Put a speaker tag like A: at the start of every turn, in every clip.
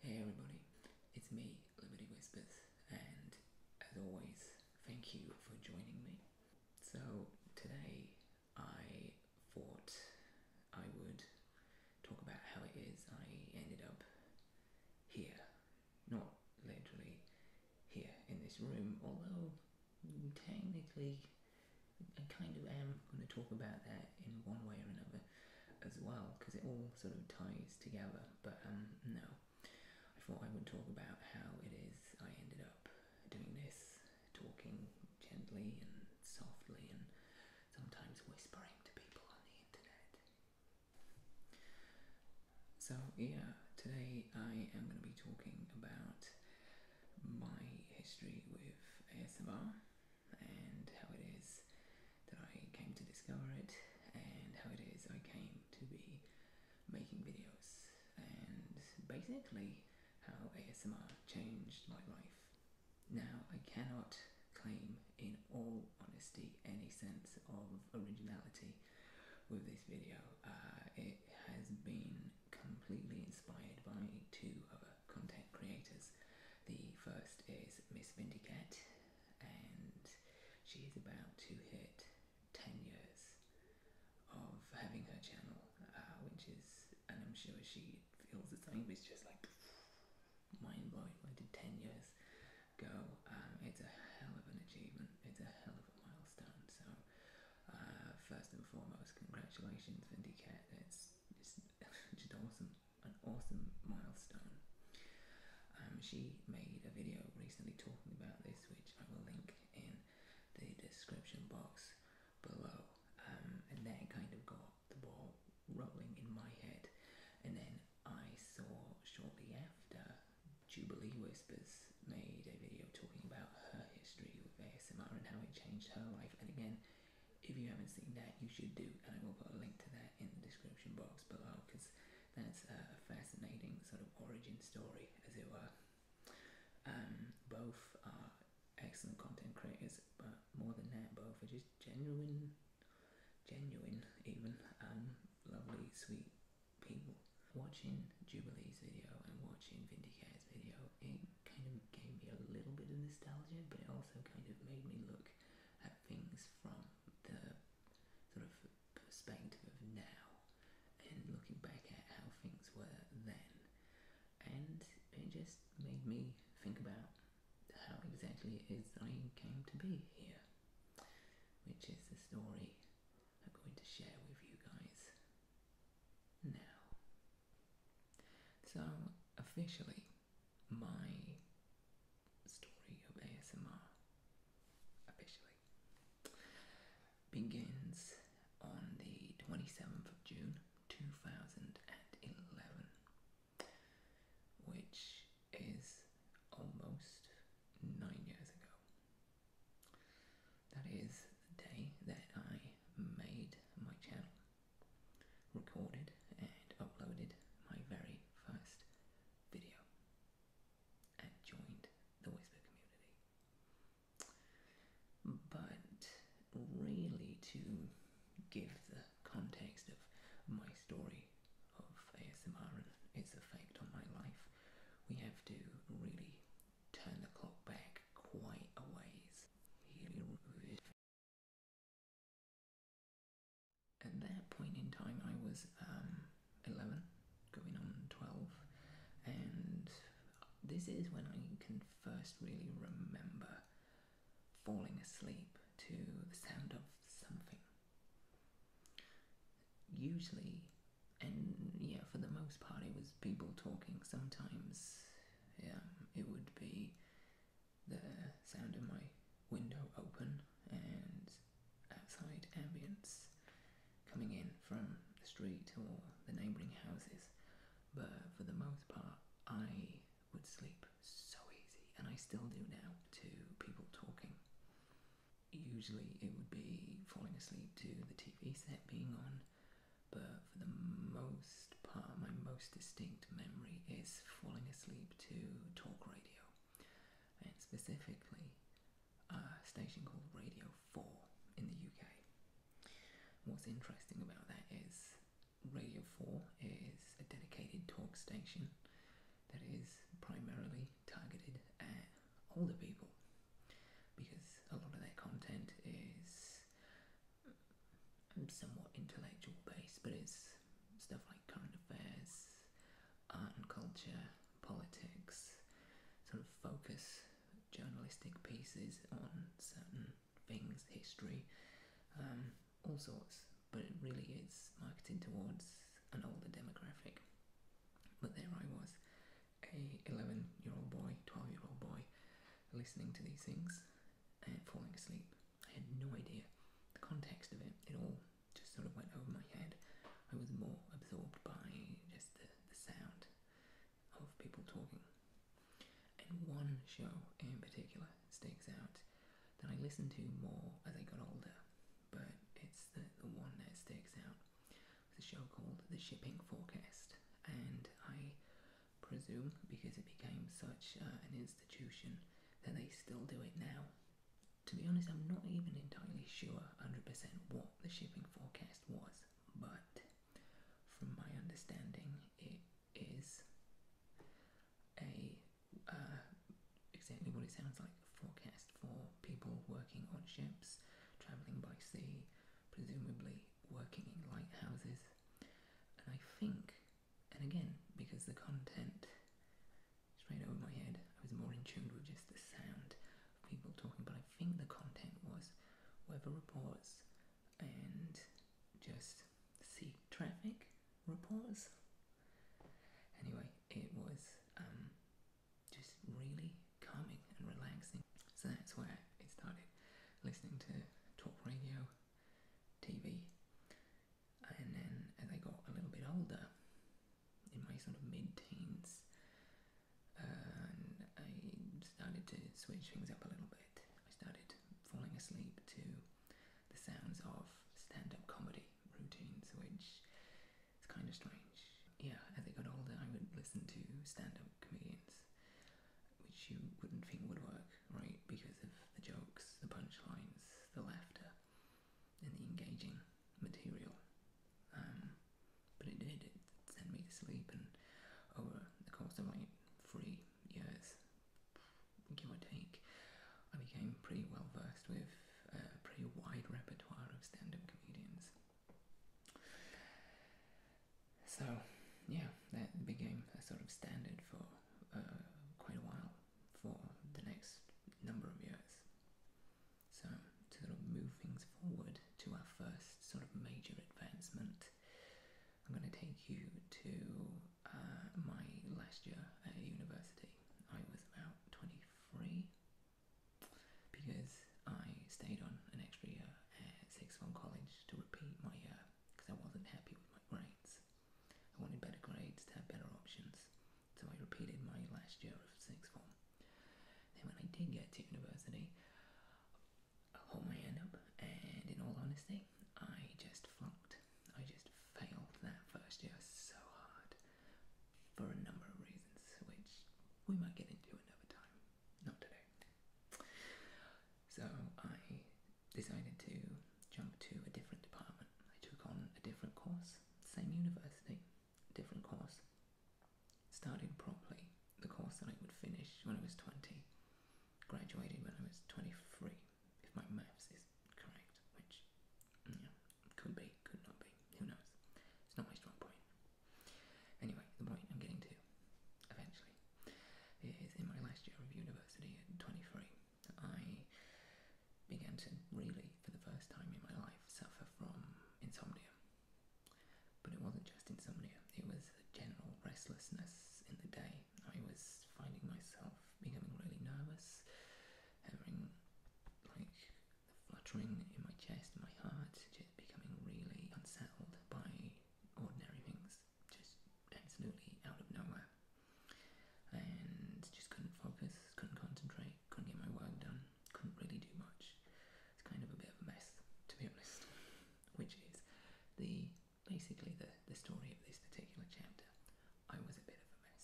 A: Hey everybody, it's me, Liberty Whispers, and as always, thank you for joining me. So, today I thought I would talk about how it is I ended up here not literally here in this room, although technically I kind of am going to talk about that in one way or another as well because it all sort of ties together. But um, no, I thought I would talk about how it is I ended up doing this, talking gently and softly and sometimes whispering to people on the internet. So, yeah, today I am going to be talking about my history with ASMR and how it is that I came to discover it and how it is I came to be making videos and basically how ASMR changed my life. Now, I cannot claim in all honesty any sense of originality with this video. Uh, it has been completely inspired by two other content creators. The first is Miss Vindicat, and she is about to hit 10 years of having her channel, uh, which is, and I'm sure she feels the same, it's just like mind blowing. I did 10 years go. Um, it's a hell of an achievement. It's a hell of a milestone. So, uh, first and foremost, congratulations, Vindicat. It's just, just awesome, an awesome milestone. Um, she made a video recently talking about this, which I will link in the description box below. Um, and that kind of got the ball rolling in my head. And then I saw shortly after Jubilee Whispers made a video talking about her history with ASMR and how it changed her life. And again, if you haven't seen that, you should do. And I will put a link to that in the description box below because that's a fascinating sort of origin story, as it were. Um, both are excellent content creators, but more than that, both are just genuine, genuine, even um, lovely, sweet people watching Jubilee's video and watching Vindicator's video, it kind of gave me a little bit of nostalgia, but it also kind of made me look at things from the sort of perspective of now and looking back at how things were then. And it just made me think about how exactly it is I came to be here, which is the story I'm going to share with you guys now. So, officially, my story of ASMR officially begins on the 27th of June 2011, which is almost nine years ago. That is the day that I made my channel, recorded and uploaded my very first video, and joined the Whisper community. But really, to give the context of my story of ASMR and its effect on my life, we have to really turn the clock back quite a ways. At that point in time, I was um, 11, going on 12, and this is when I can first really remember falling asleep to the sound of something Usually, and yeah, for the most part, it was people talking. Sometimes, yeah, it would be the sound of my window open and outside ambience coming in from the street or the neighbouring houses. But for the most part, I would sleep so easy, and I still do now, to people talking. Usually it would be falling asleep to the TV set being on, but for the most part, my most distinct memory is falling asleep to talk radio, and specifically a station called Radio 4 in the UK. What's interesting about that is Radio 4 is a dedicated talk station that is primarily targeted at older people because a lot of their content is um, somewhat intellectual based, but it's stuff like current affairs, art and culture, politics, sort of focus journalistic pieces on certain things, history, um, all sorts. But it really is marketed towards an older demographic. But there I was, a 11 year old boy, 12 year old boy, listening to these things and falling asleep. I had no idea the context of it, it all just sort of went over my head. I was more absorbed by just the, the sound of people talking. And one show in particular sticks out that I listened to more as I got older, but it's the, the one that sticks out it's a show called The Shipping Forecast, and I presume because it became such uh, an institution that they still do it now. To be honest, I'm not even entirely sure 100% what the shipping forecast was, but from my understanding, it is a uh, exactly what it sounds like forecast for people working on ships, travelling by sea, presumably working in lighthouses. And I think, and again, because the content straight over my head, I was more in tune with just the sound of people talking, but I think the content was weather reports and just sea traffic reports. Anyway, it was um, just really calming and relaxing. So that's where it started listening to talk radio, TV, and then as I got a little bit older, in my sort of mid teens, I started to switch things up a little bit. I started falling asleep to the sounds of stand up comedy routines, which it's kind of strange. Yeah, as I got older, I would listen to stand up comedians, which you wouldn't think would work, right? Because of the jokes, the punchlines, the laughter, and the engaging material. Um, but it did, it sent me to sleep, and over the course of like three years, give or take, I became pretty well versed with a pretty wide repertoire of stand up comedians. So, yeah, that became a sort of standard for uh, quite a while for the next number of years. So, to sort of move things forward to our first sort of major advancement, I'm going to take you to uh, my last year at university. I was about 23 because I stayed on an extra year at sixth form college to repeat my year because I wasn't happy with my grades. I wanted better grades to have better options, so I repeated my last year of sixth form. Then when I did get to university, I hold my hand up, and in all honesty, I just flunked. I just failed that first year so hard for a number of reasons, which we might get into another time, not today. So I decided to jump to a different department. I took on a different course, same university, different course. Started properly the course that I would finish when I was 20, graduated when I was 23, if my maths is correct, which, you could be, could not be. Who knows? It's not my strong point. Anyway, the point I'm getting to, eventually, is in my last year of university at 23, I began to really, for the first time in my life, suffer from insomnia. But it wasn't just insomnia, it was general restlessness in the day. I was finding myself becoming really nervous, having like the fluttering in my chest, my heart, just becoming really unsettled by ordinary things, just absolutely out of nowhere. And just couldn't focus, couldn't concentrate, couldn't get my work done, couldn't really do much. It's kind of a bit of a mess, to be honest, which is the basically the, the story of this particular chapter. I was a bit of a mess.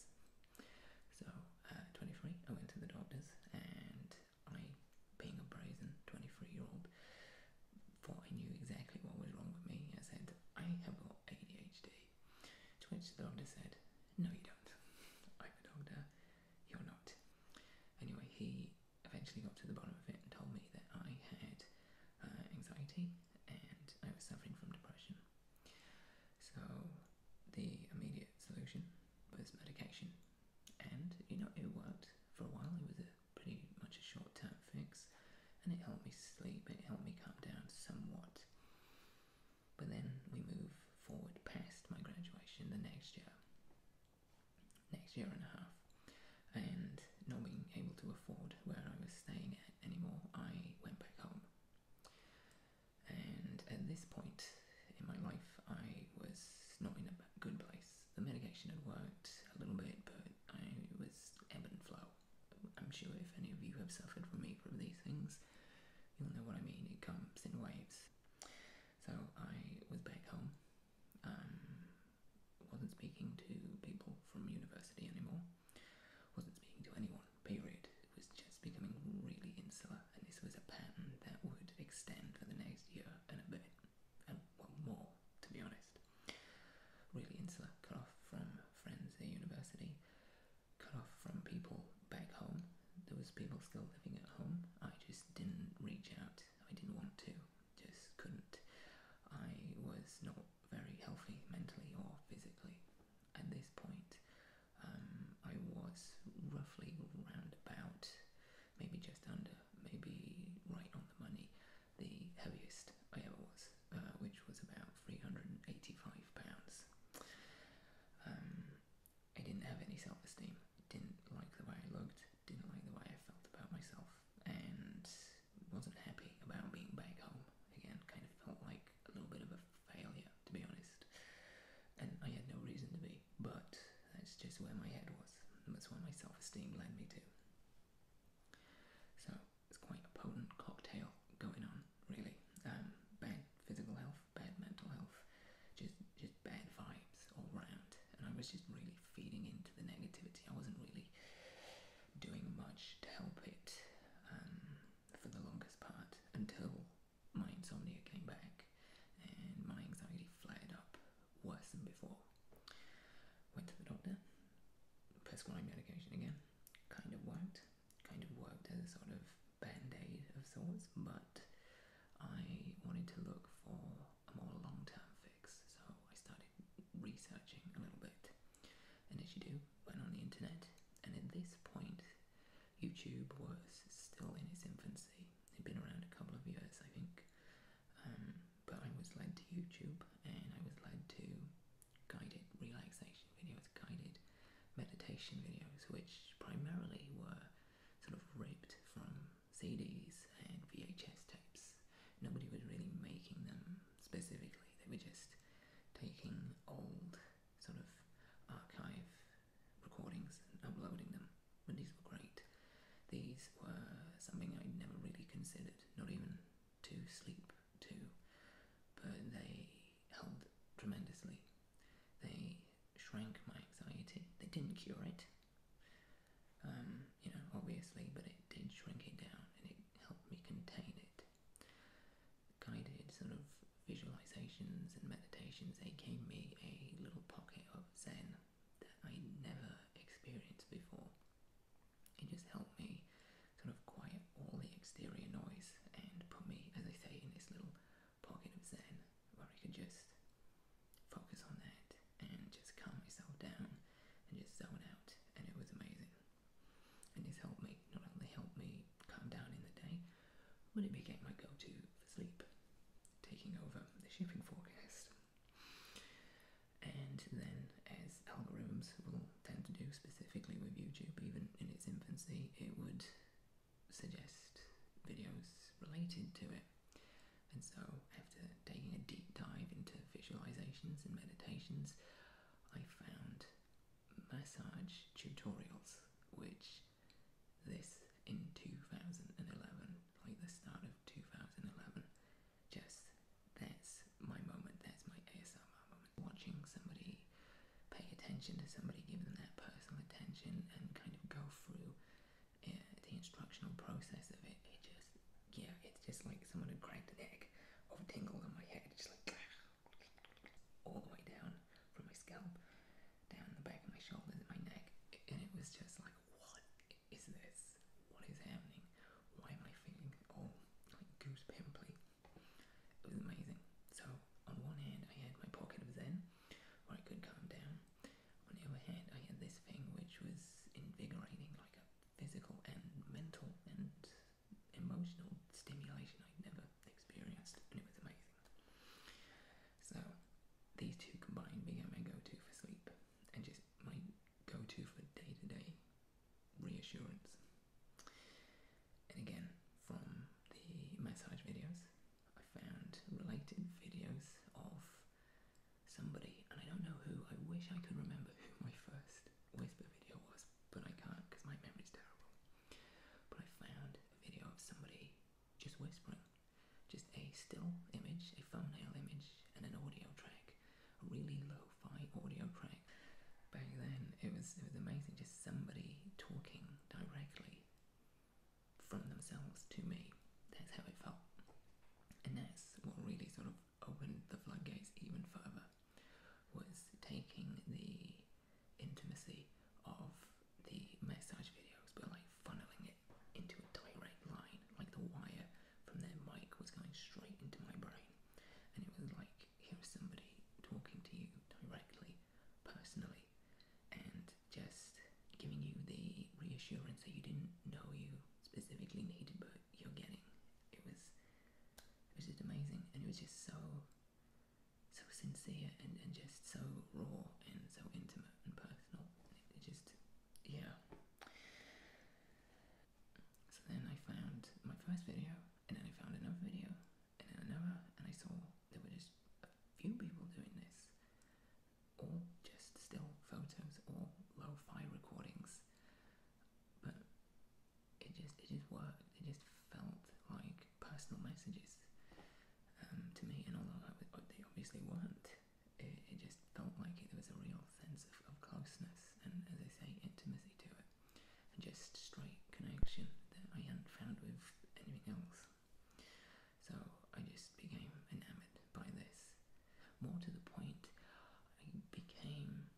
A: So, uh, 23, I went to the doctors and I, being a brazen 23 year old, thought I knew exactly what was wrong with me. I said, I have ADHD. To which the doctor said, No, you don't. I'm a doctor, you're not. Anyway, he eventually got to the bottom of it and told me that I had uh, anxiety and I was suffering from depression. So, the immediate solution was medication and, you know, it worked for a while. It was a pretty much a short term fix and it helped me sleep, it helped me calm down somewhat. But then we move forward past my graduation the next year, next year and a half, and not being able to afford where I was staying at anymore, I went back home. And at this point, in my life, I was not in a good place. The medication had worked a little bit, but I was ebb and flow. I'm sure if any of you have suffered from me from these things, you'll know what I mean. It comes in waves. So I was back home. Um, wasn't speaking to people from university anymore. Wasn't speaking to anyone. Period. It was just becoming really insular and this was a pattern that would extend for the next year and a bit, and well, more to be honest. Really insular, cut off from friends at university, cut off from people back home. There was people still living at home. I just didn't reach out. I didn't want to. Just couldn't. I was not very healthy mentally or physically at this point. Um, I was roughly roundabout maybe just under, maybe right on the money, the heaviest I ever was, uh, which was about 385 pounds. Um, I didn't have any self esteem, didn't like the way I looked, didn't like the way I felt about myself, and wasn't happy about being back home again. Kind of felt like a little bit of a failure, to be honest. And I had no reason to be but that's just where my head was. That's where my self esteem led me to. So it's quite a potent cocktail going on, really. Um, bad physical health, bad mental health, just just bad vibes all round. And I was just really feeding into the negativity. I wasn't really doing much to help it um, for the longest part until my insomnia came back and my anxiety flared up worse than before. Went to the doctor, prescribed medication again, kind of worked, kind of worked as a sort of band aid of sorts, but I wanted to look for a more long term fix, so I started researching a little bit. And as you do, went on the internet, and at this point, YouTube was still in its infancy. They've been around a couple of years, I think. Um, but I was led to YouTube and I was led to guided relaxation videos, guided meditation videos, which primarily were sort of ripped from CDs and VHS tapes. Nobody was really making them specifically, they were just taking old sort of archive recordings and uploading them, but these were great. These were something I never really considered, not even to sleep to, but they helped tremendously. They shrank my anxiety, they didn't cure it. Um, you know, obviously, but it did shrink it down and it helped me contain it. Guided sort of visualizations and meditations, they gave me a little pocket of Zen that I never experienced before. It just helped me sort of quiet all the exterior noise and put me, as I say, in this little pocket of zen where I could just focus on that and just calm myself down and just zone out, and it was amazing. And this helped me, not only helped me calm down in the day, but it became my go to for sleep taking over the shipping forecast. And then, as algorithms will tend to do specifically with YouTube, even in its infancy, it would suggest videos related to it. And so, after taking a deep dive into visualizations and meditations, I found massage tutorials, which this in 2011, like the start of 2011. Just that's my moment, that's my ASMR moment. Watching somebody pay attention to somebody, give them that personal attention, and kind of go through eh, the instructional process of it. It just, yeah, it's just like someone had cracked an egg of tingles on my head, just like all the way down from my scalp, down the back of my shoulders, and my neck, and it was just like what is this? What is happening? Why am I feeling all oh, like goose pimply? It was amazing. So on one hand, I had my pocket of Zen, where I could calm down. On the other hand, I had this thing which was invigorating, like a physical and mental and emotional stimulation I'd never experienced, and it was amazing. So these two combined became my go-to for sleep and just my go-to for day-to-day reassurance. And again, from the massage videos, I found related videos of somebody, and I don't know who, I wish I could remember who my first whisper video was, but I can't because my memory is terrible. But I found a video of somebody just whispering, just a still image, a thumbnail image, and an audio track, a really low fi audio track. Back then, it was it was amazing, just somebody talking directly from themselves to me. That's how it felt, and that's what really sort of opened the floodgates even further. Was taking the intimacy of the massage videos, but like funneling it into a direct line, like the wire from their mic was going straight into my brain. And it was like, here's somebody talking to you directly, personally, and just giving you the reassurance that you didn't know you specifically needed, but you're getting. It was, it was just amazing, and it was just so, so sincere and, and just so raw and so intimate and personal just yeah. So then I found my first video, and then I found another video, and then another, and I saw there were just a few people doing this, or just still photos or lo-fi recordings, but it just it just worked. It just felt like personal messages um, to me, and although I, they obviously weren't, it, it just felt like it, there was a real sense of, of closeness and, as I say, intimacy to it, and just straight connection that I hadn't found with anything else. So I just became enamored by this. More to the point, I became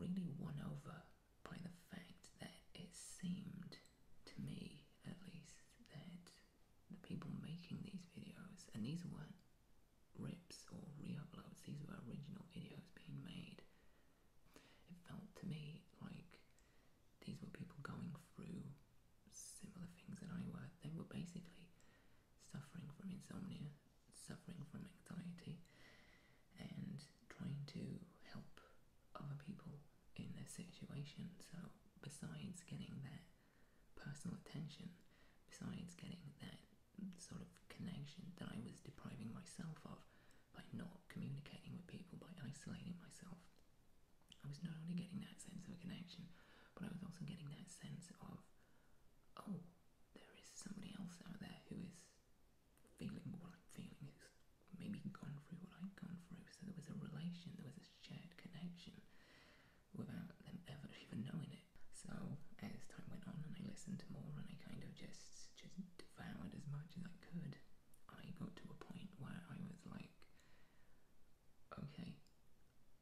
A: really won over by the fact that it seemed to me, at least, that the people making these videos, and these weren't rips or re-uploads, these were original videos being made. It felt to me like these were people going through similar things that I were. They were basically suffering from insomnia, suffering from anxiety, and trying to help other people in a situation. So, besides getting that personal attention, besides getting that sort of connection that I was depriving myself of by not communicating with people, by isolating myself, I was not only getting that sense of connection, but I was also getting that sense of, oh, there is somebody else out there who is feeling what I'm feeling, who's maybe gone through what I'd gone through. So there was a relation, there was a shared connection without them ever even knowing it. So as time went on and I listened to more and I kind of just just devoured as much as I could, I got to a point where I was like, okay,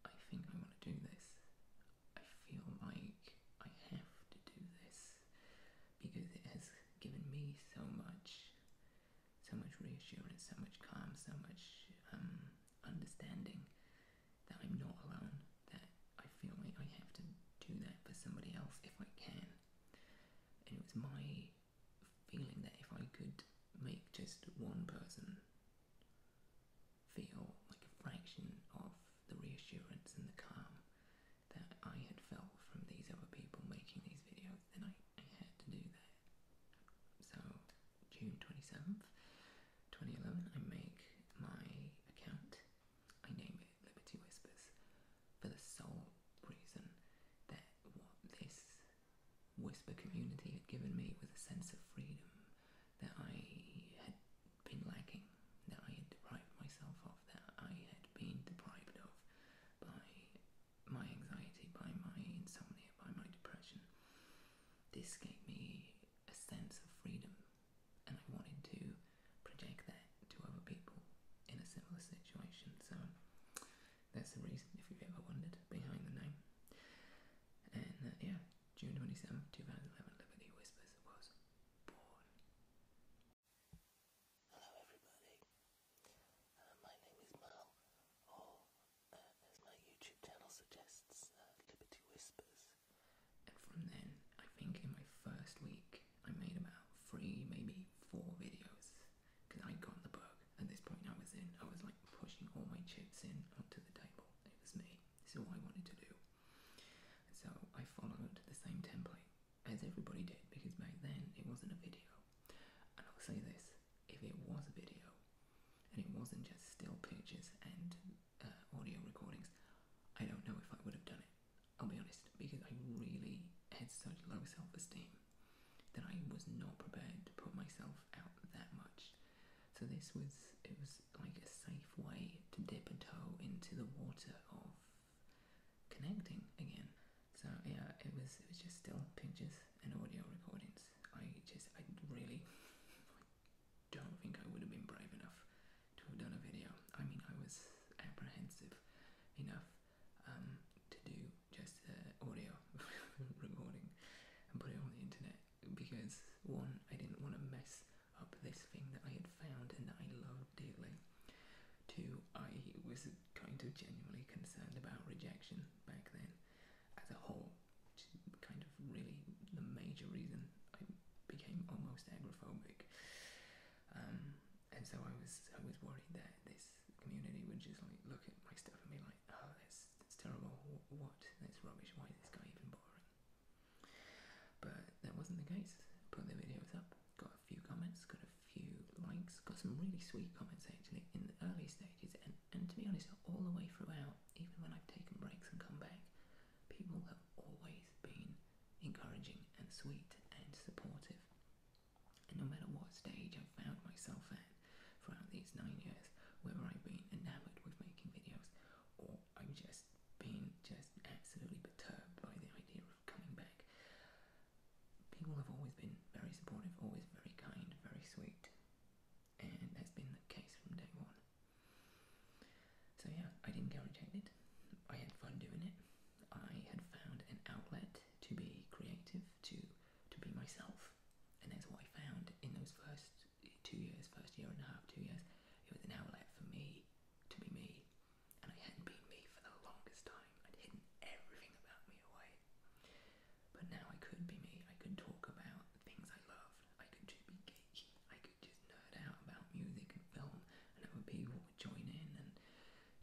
A: I think I want to do this. I feel like I have to do this because it has given me so much so much reassurance, so much calm, so much um, understanding that I'm not alone, that I feel like I have to do that for somebody else if I can. And it was my feeling that if I could make just one person feel like a fraction of the reassurance and the calm that I had felt from these other people making these videos, then I, had to do that. So, June 27th, 2011, I make my account. I name it Liberty Whispers for the sole reason that what this whisper community had given me was a sense of freedom that I had been lacking, that I had deprived myself of, that I had been deprived of by my anxiety, by my insomnia, by my depression. This gave me a sense of freedom, and I wanted to project that to other people in a similar situation. So that's the reason, if you've ever wondered, behind the name. And uh, yeah, June 27th, 2011, Liberty Whispers was born. Hello, everybody. Uh, my name is Mal, or uh, as my YouTube channel suggests, uh, Liberty Whispers. And from then, I think in my first week, I made about three, maybe four videos because I got the bug. At this point, I was in, I was like pushing all my chips in onto the table. It was me. This is all I wanted to do. so I followed the same template as everybody did because back then it wasn't a video. And I'll say this if it was a video and it wasn't just still pictures and uh, audio recordings, I don't know if I would have done it. I'll be honest, because I really had such low self esteem that I was not prepared to put myself out that much. So this was it was like a safe way to dip a toe into the water of connecting again. So yeah, it was it was just still pictures and audio recordings. I just, I really don't think I would have been brave enough to have done a video. I mean, I was apprehensive enough um, to do just audio recording and put it on the internet because one, I didn't want to mess up this thing that I had found and that I loved dearly. Two, I was kind of genuinely concerned about rejection back then as a whole, which is kind of really the major reason I became almost agoraphobic. Um, and so I was I was worried that this community would just like look at my stuff and be like, oh, that's that's terrible. What? That's rubbish. Why is this guy even boring? But that wasn't the case. Put the videos up, got a few comments, got a few likes, got some really sweet comments actually in the early stages and, to be honest, all the way throughout, even when I've taken breaks and come back, people have always been encouraging and sweet and supportive. And no matter what stage I've found myself at throughout these nine years, whether I've been enamored with making videos or I've just been just absolutely perturbed by the idea of coming back, people have always been very supportive, always very kind, very sweet, and that's been the case from day one. So yeah, I didn't get rejected. I had fun doing it. I had found an outlet to be creative, to to be myself, and that's what I found in those first two years, first year and a half, two years. It was an outlet for me to be me, and I hadn't been me for the longest time. I'd hidden everything about me away. But now I could be me. I could talk about the things I loved. I could just be geeky. I could just nerd out about music and film, and other people would join in and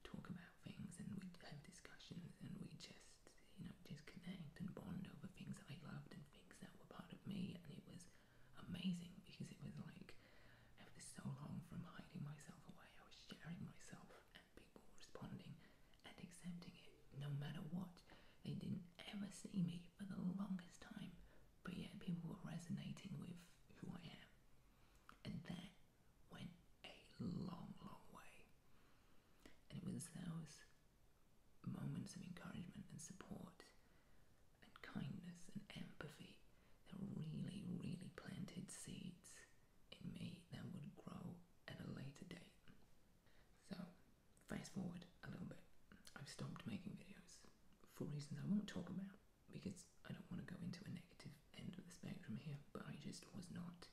A: talk about things, and we'd have discussions, and we'd just, you know, just connect and bond over things that I loved and things that were part of me. And it was amazing because it was like, after so long from hiding myself away, I was sharing myself people responding and accepting it no matter what. They didn't ever see me for the longest time, but yet people were resonating with who I am. And that went a long, long way. And it was those moments of encouragement and support and kindness and empathy that really, really planted seeds in me that would grow at a later date. So, fast forward a little bit. I've stopped making videos for reasons I won't talk about because I don't want to go into a negative end of the spectrum here, but I just was not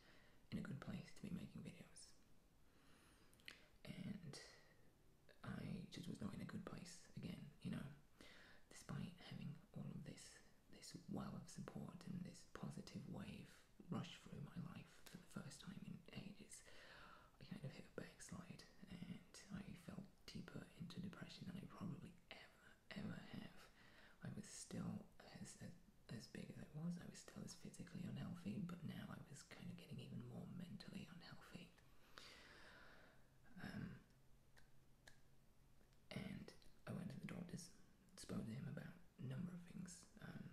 A: in a good place to be making videos. And I just was not in a good place again, you know. Despite having all of this this well of support and this positive wave rushed through my life for the first time in ages. I kind of hit a backslide and I fell deeper into depression than I probably ever, ever have. I was still as, as, as big as I was, I was still as physically unhealthy, but now I was kind of getting even more mentally unhealthy. Um, and I went to the doctors, spoke to him about number of things um,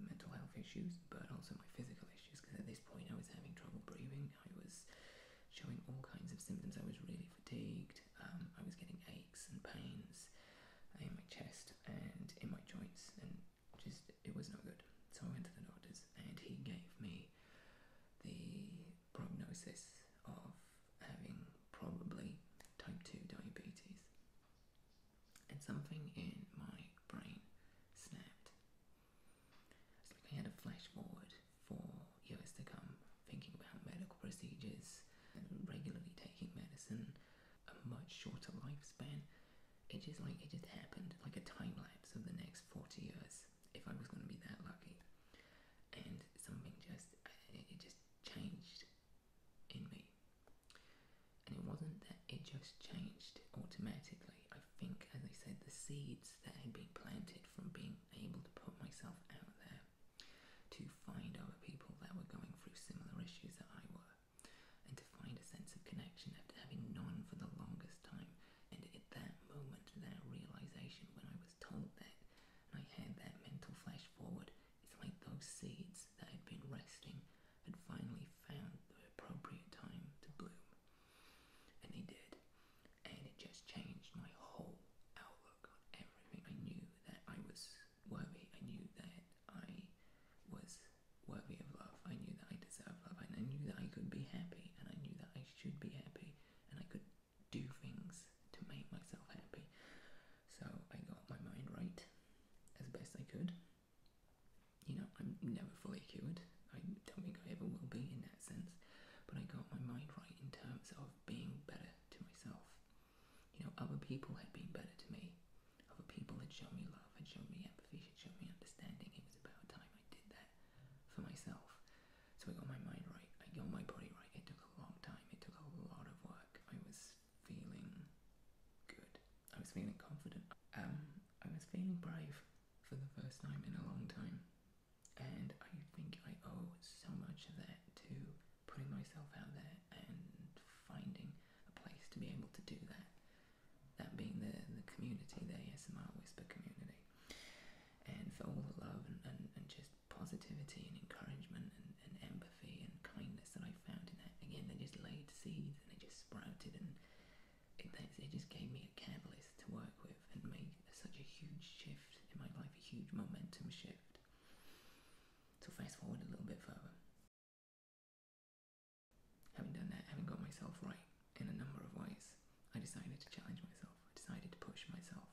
A: mental health issues, but also my physical issues because at this point I was having trouble breathing, I was showing all kinds of symptoms. I was really fatigued, um, I was getting aches and pains in my chest and in my joints, and just it was not good. So I went to the doctors, and he gave me the prognosis of having probably type 2 diabetes and something in my brain snapped. I was looking at a flash forward for years to come, thinking about medical procedures and regularly taking medicine, a much shorter lifespan. It just like it just happened, like a time lapse of the next 40 years, if I was going to be that lucky. And something just it just changed in me. And it wasn't that it just changed automatically. I think, as I said, the seeds that had been planted from being able to put myself out there to find other people that were going through similar issues that I were, and to find a sense of connection after having none for the longest time. And at that moment, that realization, when I was told that, and I had that mental flash forward, it's like those seeds that had been resting had finally found the appropriate time to bloom. And they did. And it just changed my whole outlook on everything. I knew that I was worthy. I knew that I was worthy of love. I knew that I deserved love. And I knew that I could be happy. And I knew that I should be happy. And I could do things to make myself happy. So I got my mind right as best I could you know, I'm never fully cured. I don't think I ever will be in that sense, but I got my mind right in terms of being better to myself. You know, other people had been better to me. Other people had shown me love, had shown me empathy, had shown me understanding. It was about time I did that for myself. So I got my mind right. I got my body right. It took a long time. It took a lot of work. I was feeling good. I was feeling confident. Um, I was feeling brave for the first time in a long time. And I think I owe so much of that to putting myself out there and finding a place to be able to do that. That being the, the community, the ASMR Whisper community. And for all the love and, and, and just positivity and encouragement and and empathy and kindness that I found in that. Again, they just laid seeds and they just sprouted, and it, it just gave me a catalyst to work with and made such a huge shift in my life, a huge momentum shift. So, fast forward a little bit further. Having done that, having got myself right in a number of ways, I decided to challenge myself, I decided to push myself,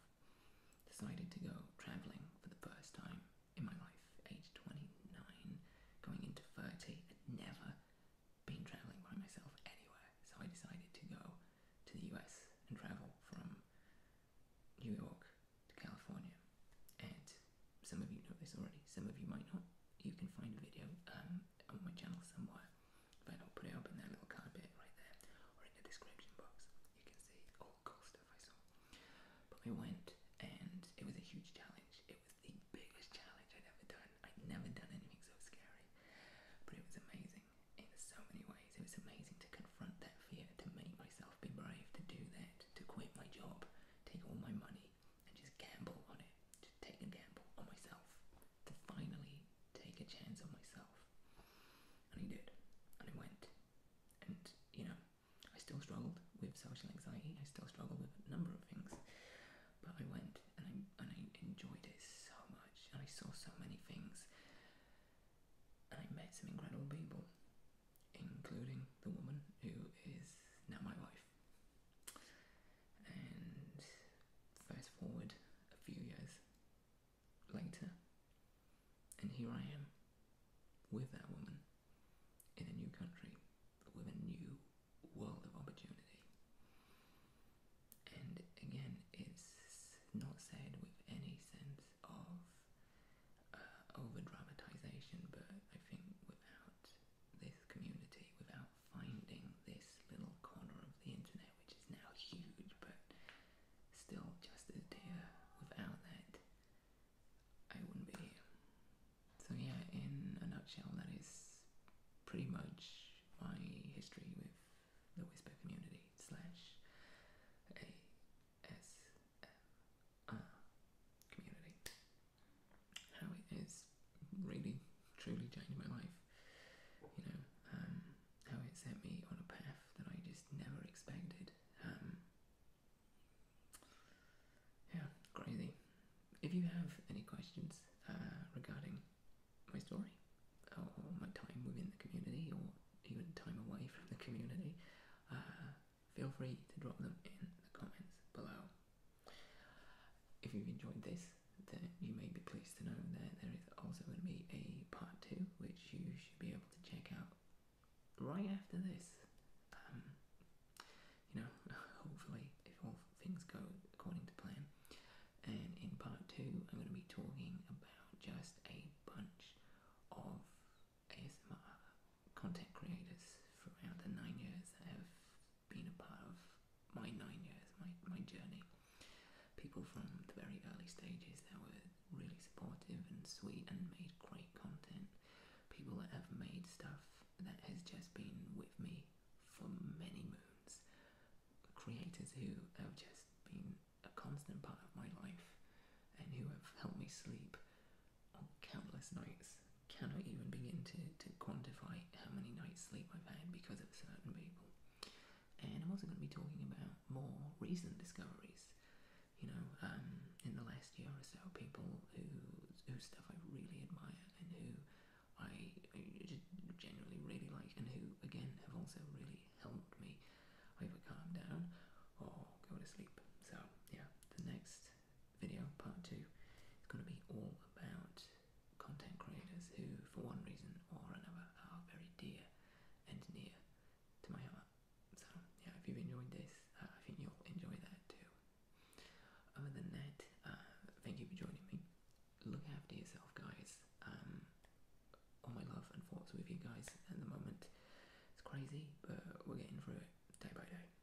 A: decided to go traveling for the first time in my life, age 29, going into 30, i never been traveling by myself anywhere. So I decided to go to the US and travel from New York to California. And some of you know this already, some of you might not. You can find a video um, on my channel somewhere, but I'll put it up in that little carpet right there or in the description box. You can see all the cool stuff I saw. But I went and it was a huge challenge. It was the biggest challenge I'd ever done. I'd never done anything so scary, but it was amazing in so many ways. It was amazing to confront that fear, to make myself be brave, to do that, to quit my job, take all my money, and just gamble on it. Just take a gamble on myself, to finally take a chance on myself. And he did, and he went, and you know, I still struggled with social anxiety. I still struggled with a number of things, but I went and I and I enjoyed it so much, and I saw so many things, and I met some incredible people, including the woman who is now my wife. And fast forward a few years later, and here I am with that woman in a new country with a new world of opportunity. And again, it's not said with any sense of uh, over dramatization, but I think without this community, without finding this little corner of the internet, which is now huge but still just as dear, without that, I wouldn't be here. So yeah, in a nutshell, that is pretty much my history with the Whisper community slash ASMR community. How it has really, truly changed my life. You know, um, how it set me on a path that I just never expected. Um, yeah, crazy. If you have any questions uh, regarding my story or my time within the community or even time away from the community, uh, feel free to drop them in the comments below. If you've enjoyed this, then you may be pleased to know that there is also going to be a part two, which you should be able to check out right after this. Um, you know, hopefully, if all things go according to plan. And in part two, I'm going to be talking about just a bunch of ASMR content creators throughout the nine years that have been a part of my nine years, my, my journey. People from the very early stages that were really supportive and sweet and made great content people that have made stuff that has just been with me for many moons, creators who have just been a constant part of my life and who have helped me sleep on countless nights. Cannot even begin to, quantify how many nights sleep I've had because of certain people. And I'm also going to be talking about more recent discoveries. You know, um, in the last year or so, people whose whose stuff I really admire and who I just generally really like, and who again have also really helped me either calm down or go to sleep. So yeah, the next video, part two, is going to be all about content creators who, for one reason or another, are very dear and near to my heart. So yeah, if you've enjoyed this, uh, I think you'll enjoy that too. Other than that, uh, thank you for joining me. Look after yourself, guys. Um, all my love and thoughts with you guys at the moment. It's crazy, but we're getting through it day by day.